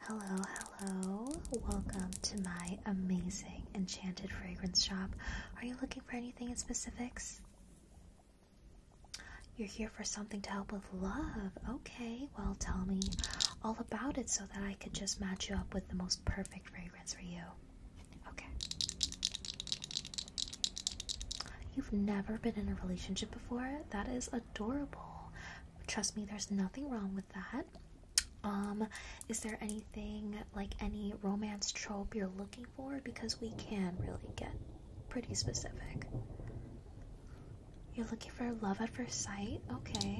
Hello, hello. Welcome to my amazing enchanted fragrance shop. Are you looking for anything in specifics? You're here for something to help with love. Okay, well, tell me all about it so that I could just match you up with the most perfect fragrance for you. Okay. You've never been in a relationship before? That is adorable. Trust me, there's nothing wrong with that. Um, is there anything like any romance trope you're looking for? Because we can really get pretty specific. You're looking for love at first sight? Okay.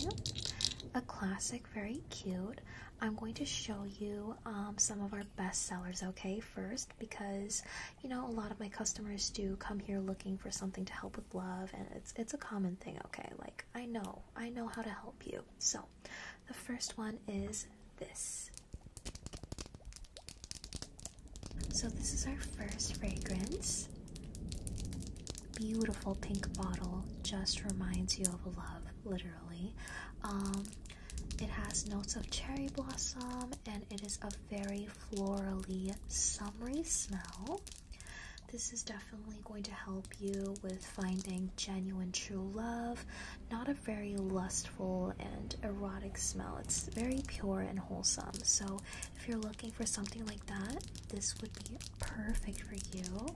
A classic, very cute. I'm going to show you um, some of our best sellers, okay, first, because you know a lot of my customers do come here looking for something to help with love, and it's it's a common okay? Like, I know, I know how to help you. So, the first one is this. So, this is our first fragrance. Beautiful pink bottle, just reminds you of love, literally. Um, it has notes of cherry blossom and it is a very florally summery smell. This is definitely going to help you with finding genuine true love, not a very lustful and erotic smell. It's very pure and wholesome. So, if you're looking for something like that, this would be perfect for you.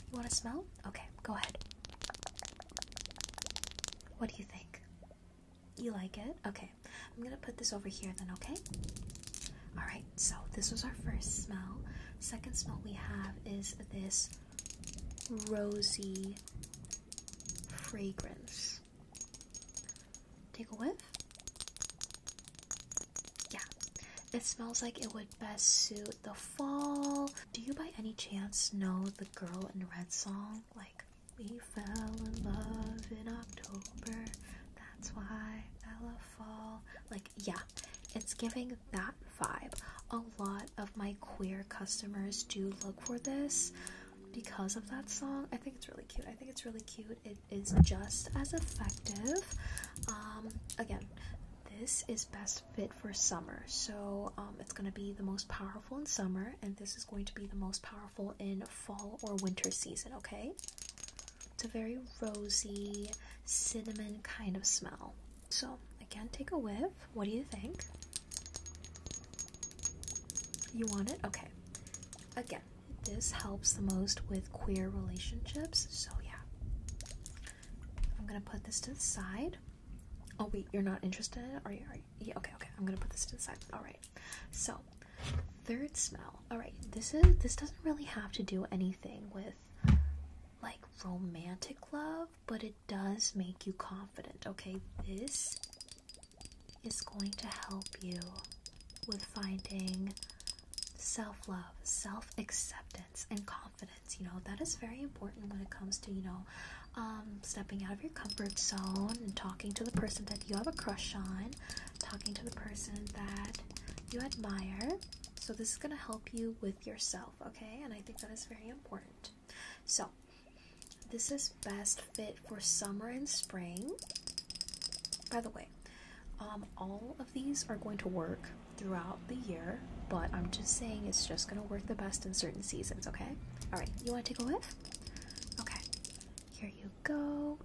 You want to smell? Okay, go ahead. What do you think? You like it? Okay. I'm going to put this over here then, okay? Alright, so this was our first smell. Second smell we have is this rosy fragrance. Take a whiff. Yeah. It smells like it would best suit the fall. Do you by any chance know the girl in red song? Like we fell in love in October. That's why I love fall. Like, yeah, it's giving that vibe. A lot of my queer customers do look for this because of that song. I think it's really cute. I think it's really cute. It is just as effective. Um, again, this is best fit for summer so um, it's going to be the most powerful in summer and this is going to be the most powerful in fall or winter season, okay? It's a very rosy, cinnamon kind of smell. So, again, take a whiff. What do you think? You want it? Okay. Again, this helps the most with queer relationships, so yeah. I'm gonna put this to the side. Oh wait, you're not interested in it? Are you? Are you? Yeah, okay, okay. I'm gonna put this to the side. All right so third smell. All right, this is this doesn't really have to do anything with like romantic love, but it does make you confident. Okay, this is going to help you with finding self love, self acceptance, and confidence. You know, that is very important when it comes to, you know, um, stepping out of your comfort zone and talking to the person that you have a crush on talking to the person that you admire. So, this is going to help you with yourself, okay? And I think that is very important. So, this is best fit for summer and spring. By the way, um, all of these are going to work throughout the year, but I'm just saying it's just going to work the best in certain seasons, okay? All right, you want to take a whiff? Okay, here you go.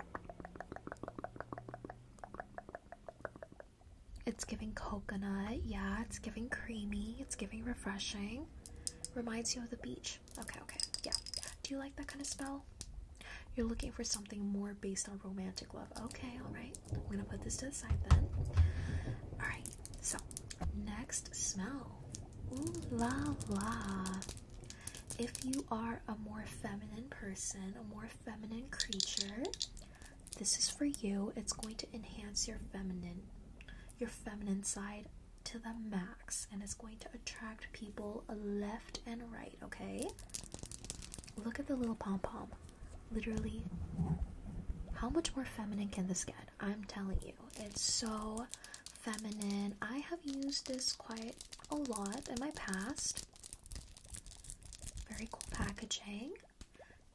It's giving coconut. Yeah, it's giving creamy. It's giving refreshing. Reminds you of the beach. Okay, okay. Yeah. Do you like that kind of smell? You're looking for something more based on romantic love. Okay, alright. I'm gonna put this to the side then. Alright, so next smell. Ooh la la. If you are a more feminine person, a more feminine creature, this is for you. It's going to enhance your feminine your feminine side to the max and it's going to attract people left and right, okay? Look at the little pom-pom. Literally how much more feminine can this get? I'm telling you. It's so feminine. I have used this quite a lot in my past. Very cool packaging.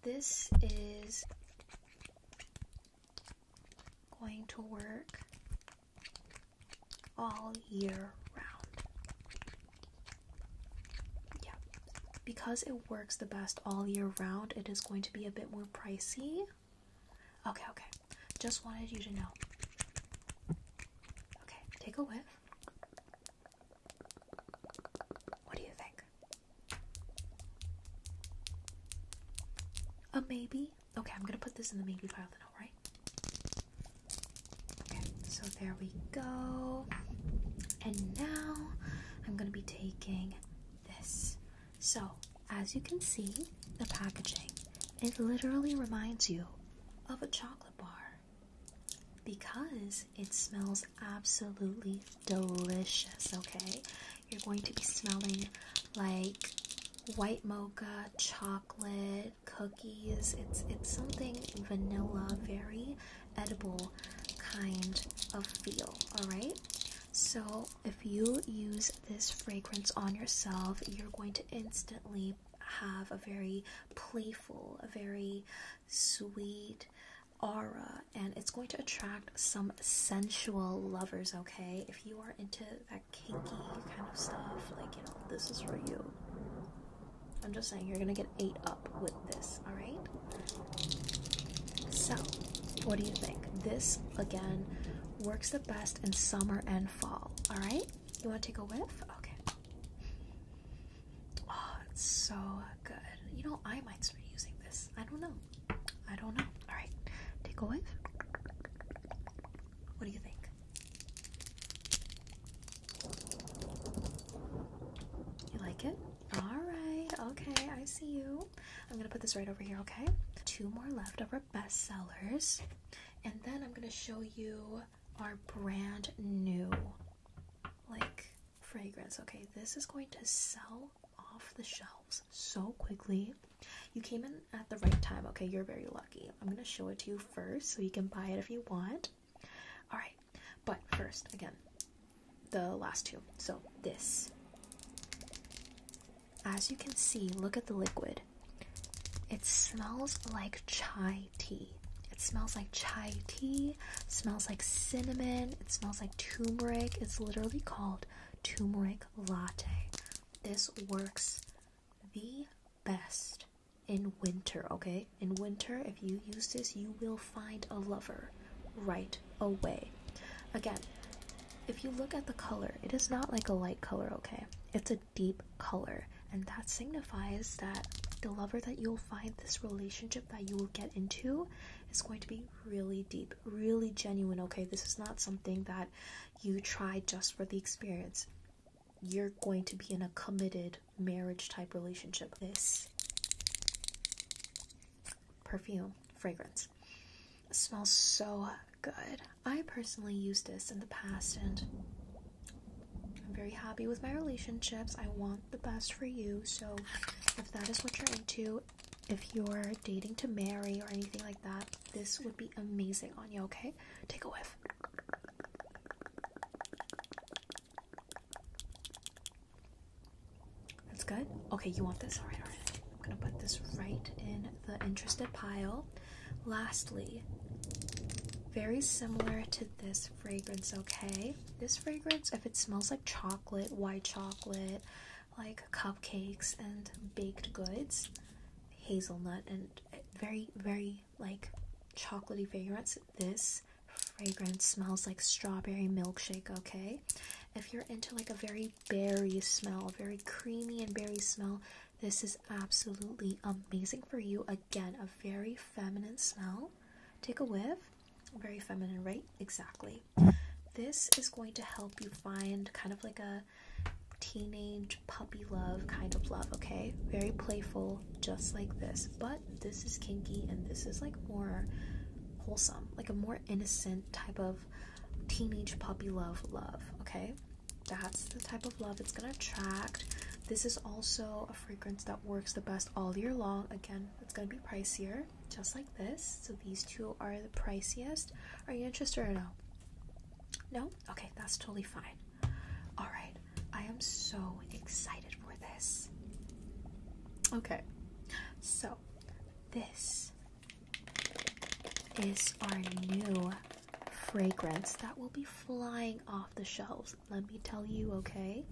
This is going to work all year round. Yeah, because it works the best all year round, it is going to be a bit more pricey. Okay, okay. Just wanted you to know. Okay, take a whiff. What do you think? A maybe? Okay, I'm gonna put this in the maybe pile then, alright? Okay, so there we go. And now I'm gonna be taking this. So, as you can see, the packaging, it literally reminds you of a chocolate bar because it smells absolutely delicious, okay? You're going to be smelling like white mocha, chocolate, cookies. It's it's something vanilla, very edible kind of feel, all right? So, if you use this fragrance on yourself, you're going to instantly have a very playful, a very sweet aura, and it's going to attract some sensual lovers, okay? If you are into that kinky kind of stuff, like, you know, this is for you. I'm just saying, you're gonna get ate up with this, alright? So, what do you think? This, again, works the best best in summer and fall. All right, you want to take a whiff? Okay. Oh, it's so good. You know, I might start using this. I don't know. I don't know. All right, take a whiff. What do you think? You like it? All right. Okay, I see you i I'm gonna put this right over here, okay? Two more left of our best sellers. And then I'm gonna show you our brand new like fragrance. Okay, this is going to sell off the shelves so quickly. You came in at the right time, okay? You're very lucky. I'm gonna show it to you first so you can buy it if you want. Alright, but first, again, the last two. So this as you can see, look at the liquid. It smells like chai tea. It smells like chai tea, smells like cinnamon, it smells like turmeric. It's literally called turmeric latte. This works the best in winter, okay? In winter, if you use this, you will find a lover right away. Again, if you look at the color, it is not like a light color, okay? It's a deep color, and that signifies that the lover that you'll find, this relationship that you will get into, is going to be really deep, really genuine, okay? This is not something that you try just for the experience. You're going to be in a committed marriage type relationship. This perfume fragrance. smells so good. I personally used this in the past and I'm very happy with my relationships. I want the best for you. So if that is what you're into, if you're dating to marry or anything like that, this would be amazing on you, okay? Take a whiff. That's good. Okay, you want this? All right, all right. I'm gonna put this right in the interested pile. Lastly, very similar to this fragrance, okay? This fragrance, if it smells like chocolate, white chocolate, like cupcakes and baked goods, hazelnut, and very, very like chocolatey fragrance, this fragrance smells like strawberry milkshake, okay? If you're into like a very berry smell, very creamy and berry smell. This is absolutely amazing for you. Again, a very feminine smell. Take a whiff. Very feminine, right? Exactly. This is going to help you find kind of like a teenage puppy love kind of love, okay? Very playful, just like this. But this is kinky and this is like more wholesome, like a more innocent type of teenage puppy love love okay that's the type of love it's gonna attract this is also a fragrance that works the best all year long again it's gonna be pricier just like this so these two are the priciest are you interested or no no okay that's totally fine all right i am so excited for this okay so this is our new fragrance that will be flying off the shelves. Let me tell you, okay?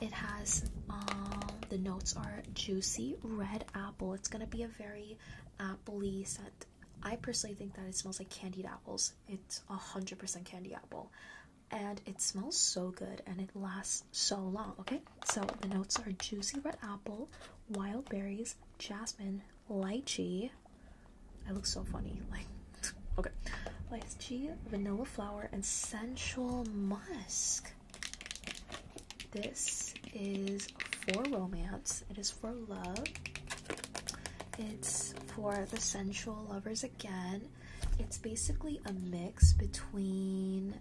It has um, the notes are juicy red apple. It's gonna be a very appley scent. I personally think that it smells like candied apples. It's a hundred percent candied apple, and it smells so good and it lasts so long. Okay, so the notes are juicy red apple, wild berries, jasmine, lychee. I look so funny. Like, okay. Lychee, vanilla flower, and sensual musk. This is for romance. It is for love. It's for the sensual lovers again. It's basically a mix between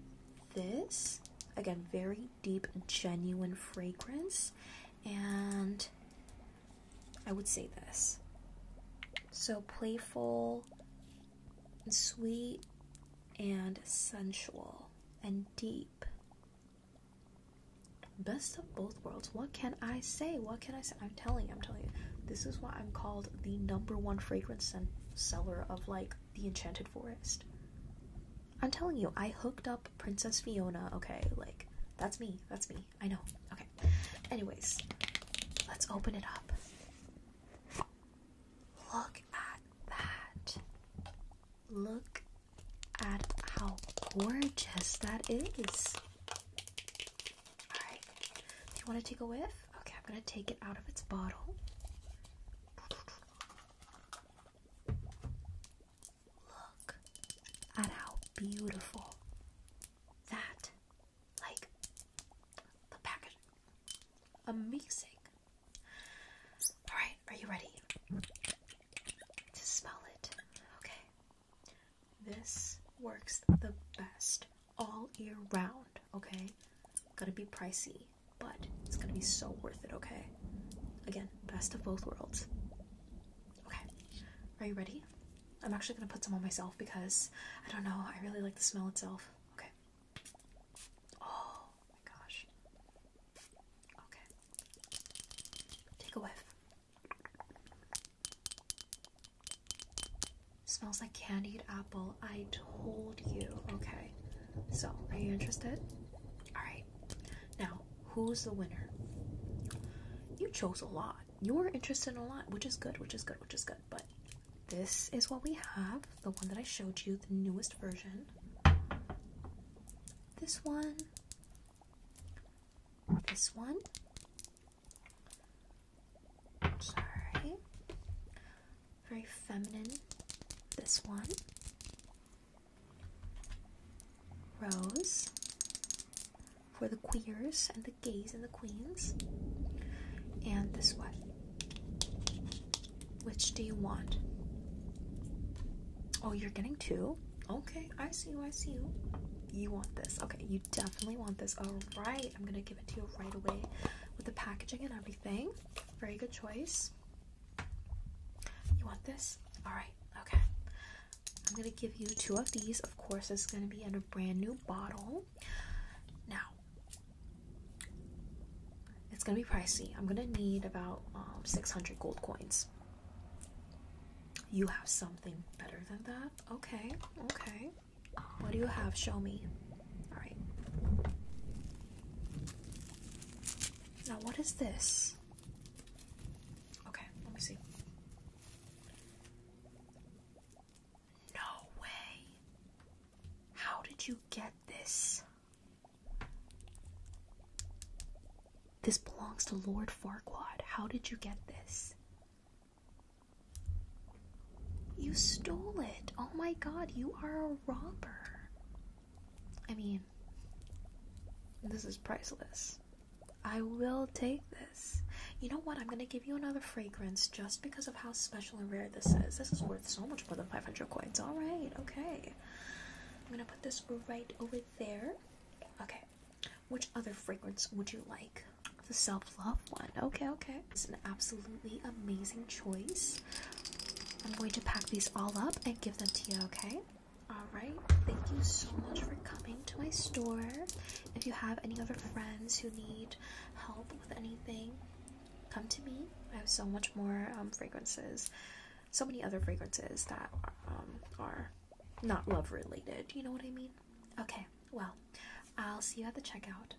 this, again, very deep, genuine fragrance. And I would say this. So playful, and sweet, and sensual, and deep. Best of both worlds. What can I say? What can I say? I'm telling you, I'm telling you. This is why I'm called the number one fragrance seller of like the Enchanted Forest. I'm telling you, I hooked up Princess Fiona, okay? Like, that's me. That's me. I know. Okay. Anyways, let's open it up. Look at that. Look at how gorgeous that is. Alright. Do you want to take a whiff? Okay, I'm going to take it out of its bottle. Look at how beautiful that, like, the package. Amazing. Alright, are you ready to smell it? Okay. This works the best all year round, okay? Gotta be pricey but it's gonna be so worth it, okay? Again, best of both worlds. Okay, are you ready? I'm actually gonna put some on myself because I don't know, I really like the smell itself. Okay. Oh my gosh. Okay. Take a whiff. Smells like candied apple. I told you. Okay. So, are you interested? Alright. Now, who's the winner? You chose a lot. You were interested in a lot, which is good, which is good, which is good. But this is what we have the one that I showed you, the newest version. This one. This one. Sorry very feminine. This one, Rose for the queers and the gays and the queens, and this one. Which do you want? Oh, you're getting two? Okay, I see you, I see you. You want this. Okay, you definitely want this. Alright, I'm gonna give it to you right away with the packaging and everything. Very good choice. You want this? Alright, okay. I'm gonna give you two of these. Of course, it's gonna be in a brand new bottle. Now, it's gonna be pricey. I'm gonna need about um, 600 gold coins. You have something better than that? Okay, okay. What do you have? Show me. Alright. Now, what is this? Okay, let me see. No way! How did you get this? This belongs to Lord Farquaad. How did you get this? You stole it. Oh my god, you are a robber. I mean, this is priceless. I will take this. You know what? I'm gonna give you another fragrance just because of how special and rare this is. This is worth so much more than 500 coins. Alright, okay. I'm gonna put this right over there. Okay, which other fragrance would you like? The self love one. Okay, okay. It's an absolutely amazing choice. I'm going to pack these all up and give them to you, okay? Alright, thank you so much for coming to my store. If you have any other friends who need help with anything, come to me. I have so much more um, fragrances, so many other fragrances that um, are not love related. You know what I mean? Okay, well, I'll see you at the checkout.